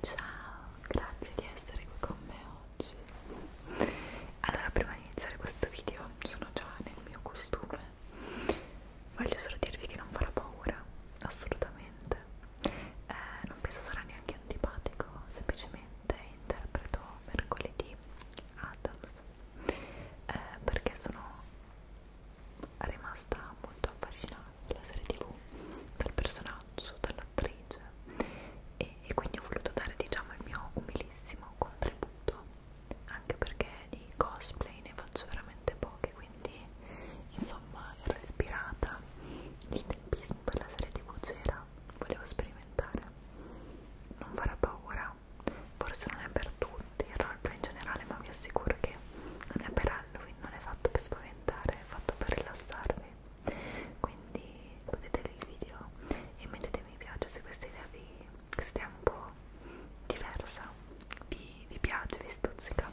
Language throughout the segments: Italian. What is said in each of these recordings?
Ciao, grazie di essere qui con me oggi. Allora, prima di iniziare questo video, sono già nel mio costume. Voglio solo dirvi che non farà paura, assolutamente. Eh, non penso sarà neanche antipatico, semplicemente interpreto mercoledì Adams eh, perché sono rimasta molto affascinata dalla serie tv, dal personaggio, dall'attrice e, e quindi ho voluto dare diciamo il mio umilissimo contributo anche perché di cosplay ne faccio veramente poche quindi insomma ero ispirata il tempismo per la serie tv c'era volevo sperimentare non farà paura forse non è per tutti il roleplay in generale ma vi assicuro che non è per Halloween non è fatto per spaventare è fatto per rilassarvi quindi godetevi il video e mettete mi piace se questa idea vi questa idea un po' diversa vi, vi piace vi stuzzica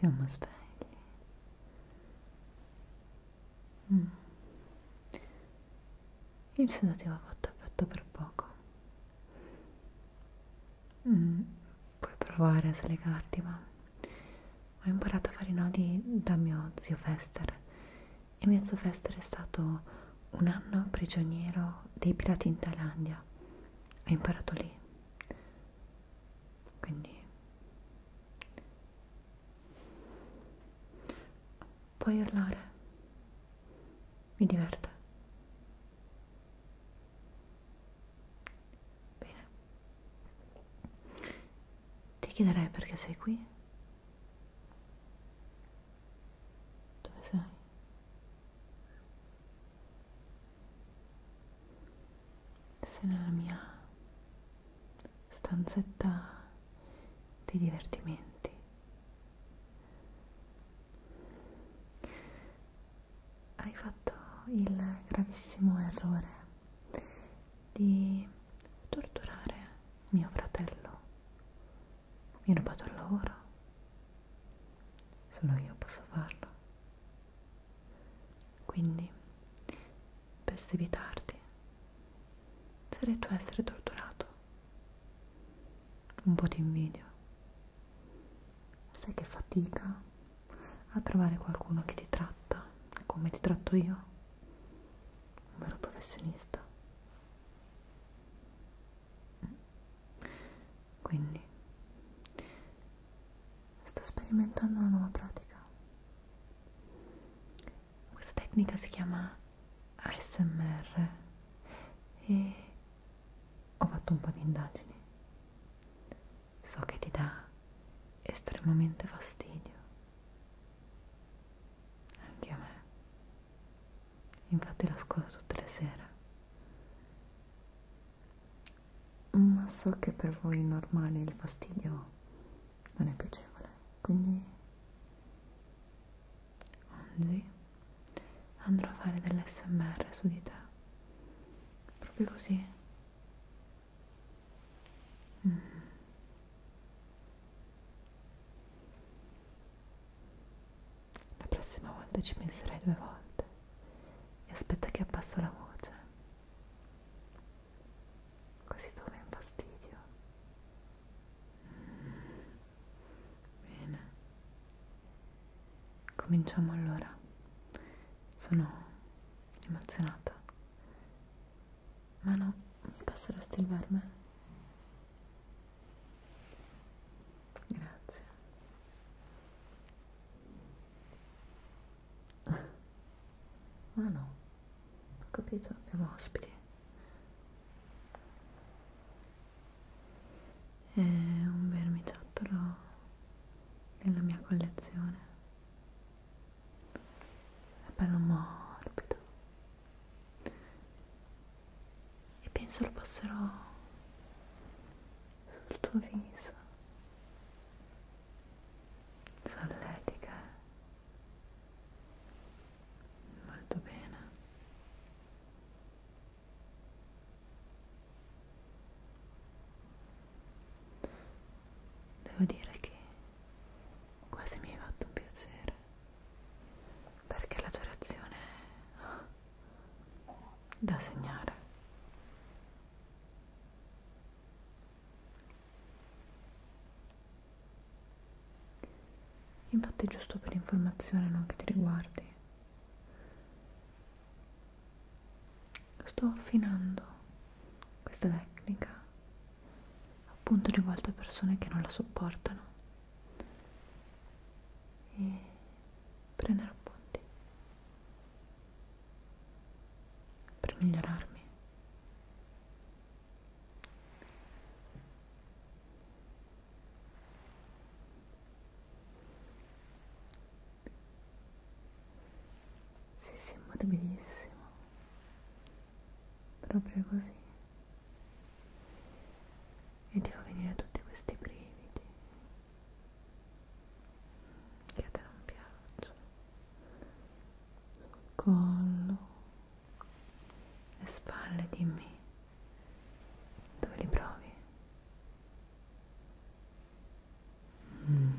Siamo svegli. Mm. Il sedativo ha fatto effetto per poco. Mm puoi provare a slegarti, ma ho imparato a fare i nodi da mio zio Fester e mio zio Fester è stato un anno prigioniero dei pirati in Thailandia. Ho imparato lì. Quindi puoi urlare. Mi diverte. Bene. Ti chiederei perché sei qui? Dove sei? Sei nella mia stanzetta di divertimenti hai fatto il gravissimo errore di torturare mio fratello. Mi hai rubato il lavoro. Solo io posso farlo. Quindi, per evitarti, sarei tu a essere torturato. Un po' ti invidio sai che fatica a trovare qualcuno che ti tratta come ti tratto io, un vero professionista. Quindi sto sperimentando una nuova pratica. Questa tecnica si chiama ASMR e ho fatto un po' di indagini so che ti dà estremamente fastidio, anche a me, infatti lo ascolto tutte le sere, ma so che per voi normali il fastidio non è piacevole, quindi oggi andrò a fare dell'SMR su di te, proprio così Mm. La prossima volta ci penserai due volte e aspetta che abbasso la voce, così tu non fastidio. Mm. Bene, cominciamo allora. Sono emozionata. Ma no, mi passeresti il verme? Grazie. Ma no, ho capito, abbiamo ospiti. È un vermiciattolo nella mia collezione è bello morbido e penso lo passerò sul tuo viso solletica molto bene Devo dire che quasi mi hai fatto un piacere perché la tua reazione è da segnare. Infatti giusto per informazione non che ti riguardi sto affinando questa tecnica appunto rivolta a persone che non la sopportano e prendere appunti per migliorarmi sì, sì, è morbidissimo. Proprio così. E ti fa venire tutti questi brividi. Che a te non piacciono. Sul collo. Le spalle, dimmi. Dove li provi? Mm.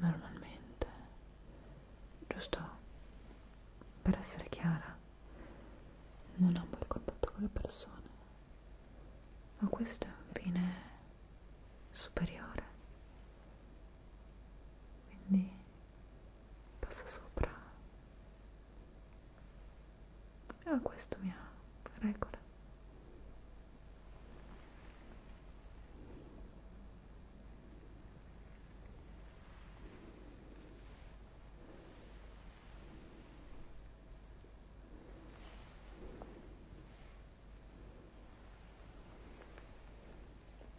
normalmente, giusto per essere chiara, non amo il contatto con le persone, ma questo è un fine superiore, quindi passa sopra Ah, questo mi ha regola.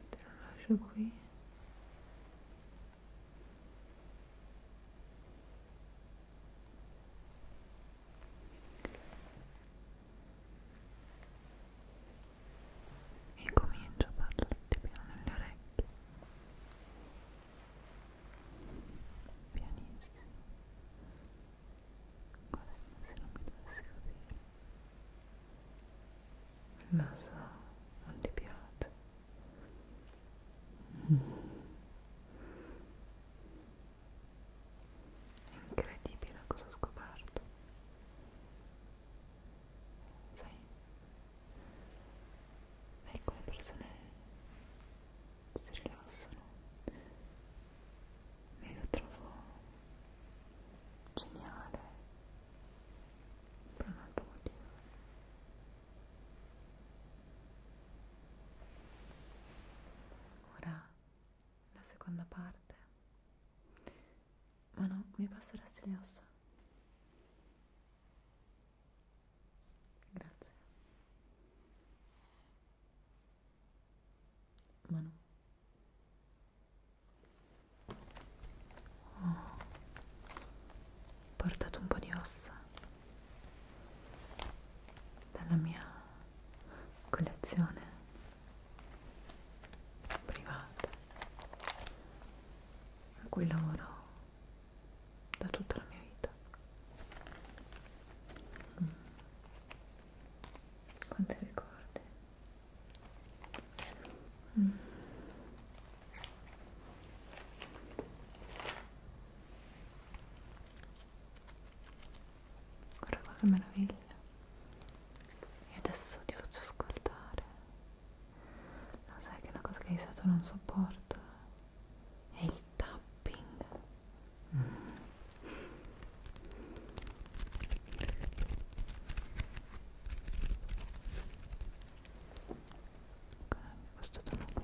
Te lo lascio qui e comincio a parlarti piano nelle orecchie pianissimo quasi se non mi dovessi capire lo so, non ti piace Incredibile cosa ho scoperto. Sai, ecco le persone si rilassano. E lo trovo geniale per un altro motivo. Ora la seconda parte. Ma no, mi passerà le ossa. Grazie. Ma no. Oh, ho portato un po' di ossa dalla mia collezione privata a cui lavoro da tutta la mia vita mm. quanti ricordi mm. Guarda qua che meraviglia. E adesso ti faccio ascoltare. Lo no, sai che è una cosa che di solito non sopporto è il tapping. Mm. Questo tono qui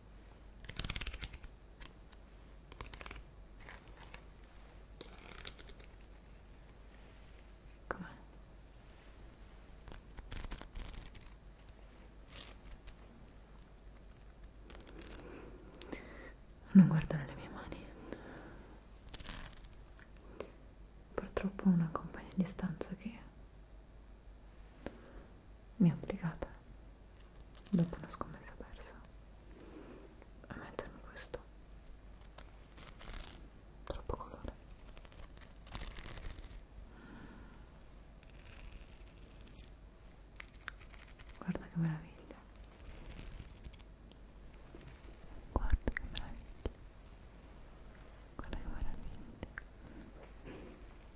Com'è? Non guardano le mie mani. Purtroppo ho una compagna a distanza che mi ha obbligata dopo una scommessa persa a mettermi questo troppo colore guarda che meraviglia guarda che meraviglia guarda che meraviglia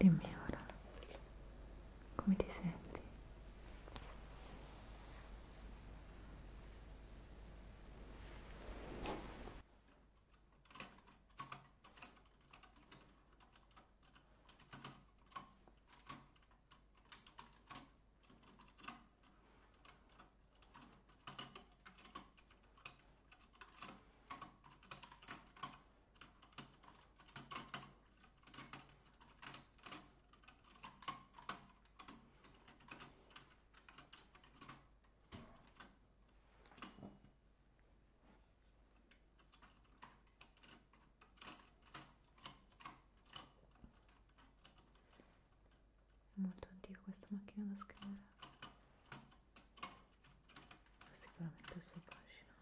Dimmi ora, come ti senti? molto antico questa macchina da scrivere sicuramente il suo fascino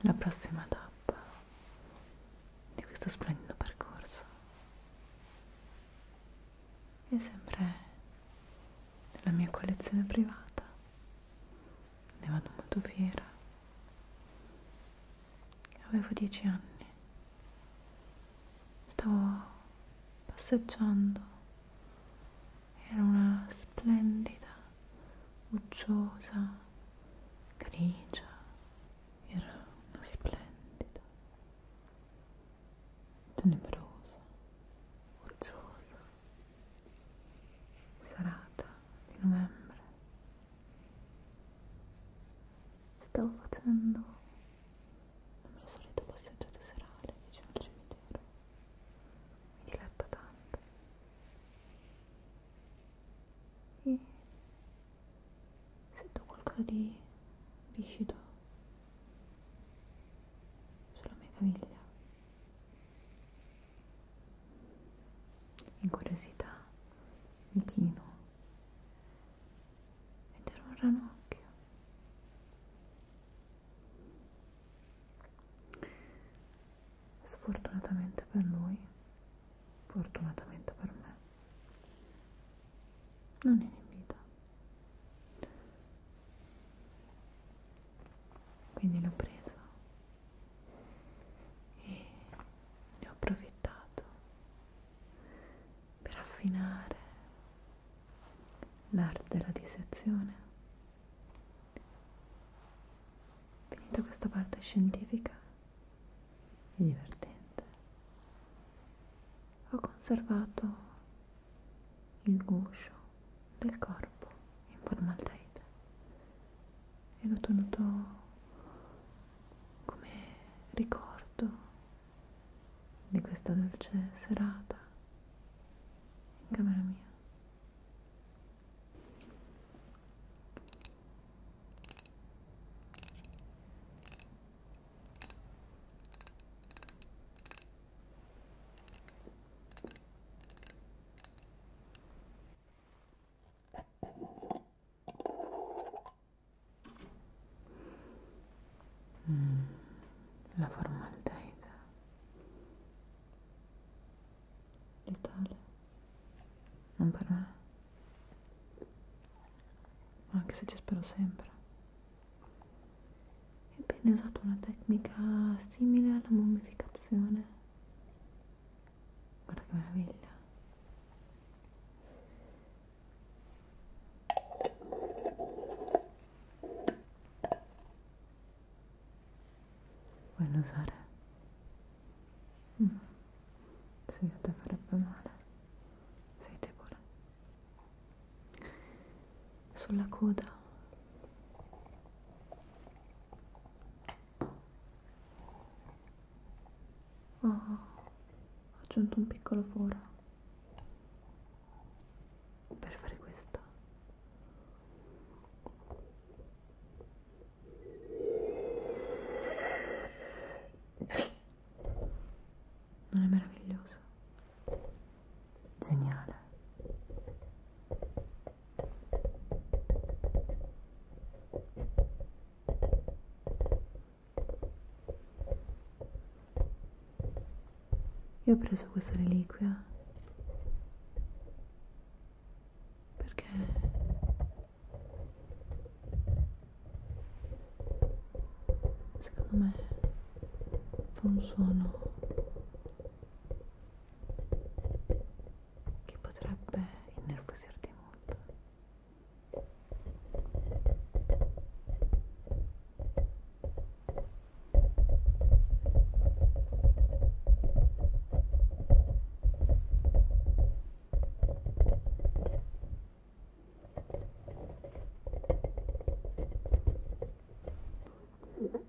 la prossima tappa di questo splendido percorso è sempre nella mia collezione privata, ne vado molto fiera. Avevo dieci anni, stavo passeggiando, era una splendida, uggiosa, grigia, era una splendida, tenebrosa, uggiosa serata di novembre stavo facendo la mia solita passeggiata serale vicino al cimitero mi diletta tanto e sento qualcosa di viscido sulla mia caviglia in curiosità mi chino ed era un ranocchio sfortunatamente per lui fortunatamente per me non era in vita quindi l'ho preso e ne ho approfittato per affinare l'arte della dissezione finita questa parte scientifica e divertente ho conservato il guscio del corpo in formaldeide e l'ho tenuto come ricordo di questa dolce serata in camera mia. Mm, la formaldeide letale non per me anche se ci spero sempre Viene usato una técnica similar alla mummificazione. Guarda che meraviglia. maravilla. usare? Mm. Sì, a te farebbe male. te pone sulla coda oh, ho aggiunto un piccolo foro per fare questo non è meraviglioso Geniale. Io ho preso questa reliquia perché secondo me fa un suono che potrebbe innervosirti molto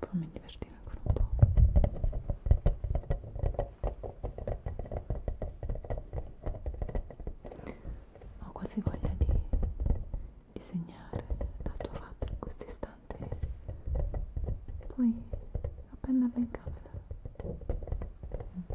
fammi divertire ancora un po' ho quasi voglia di disegnare la tua faccia in questo istante poi appenderla in camera mm.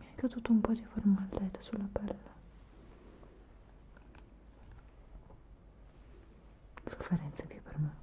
Mi è caduto un po' di formaldeide sulla pelle. Sofferenze più per me.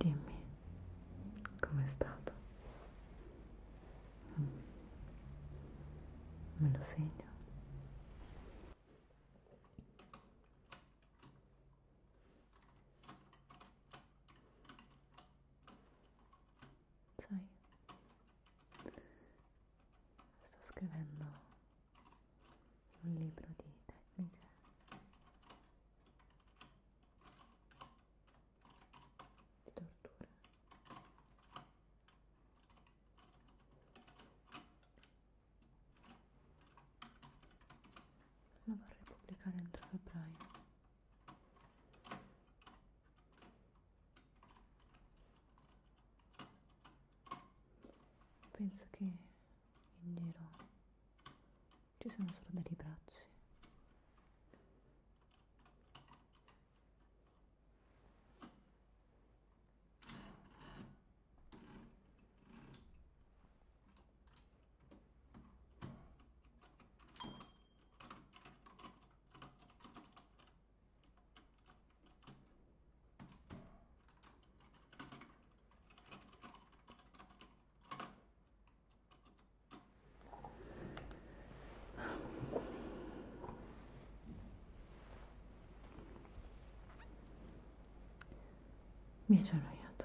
Dimmi com'è stato. Mm. Me lo segno. Sai, sto scrivendo un libro di tecniche di tortura lo vorrei pubblicare entro febbraio penso che in giro ci sono solo dei bracci mi ci ho annoiato.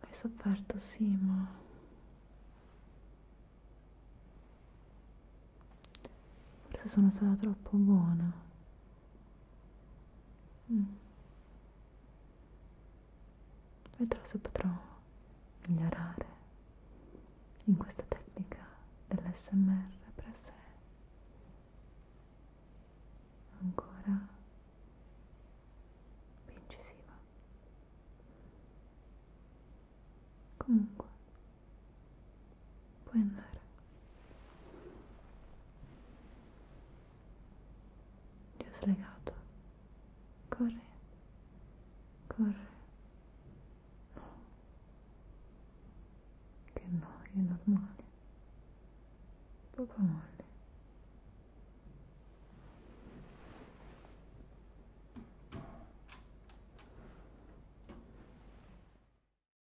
Hai sofferto, sì, ma... Forse sono stata troppo buona. Mm. Vedrò se potrò migliorare in questa tecnica dell'SMR per essere ancora più incisiva. Comunque, puoi andare ti ho slegato corri corri no che noia normale poco molle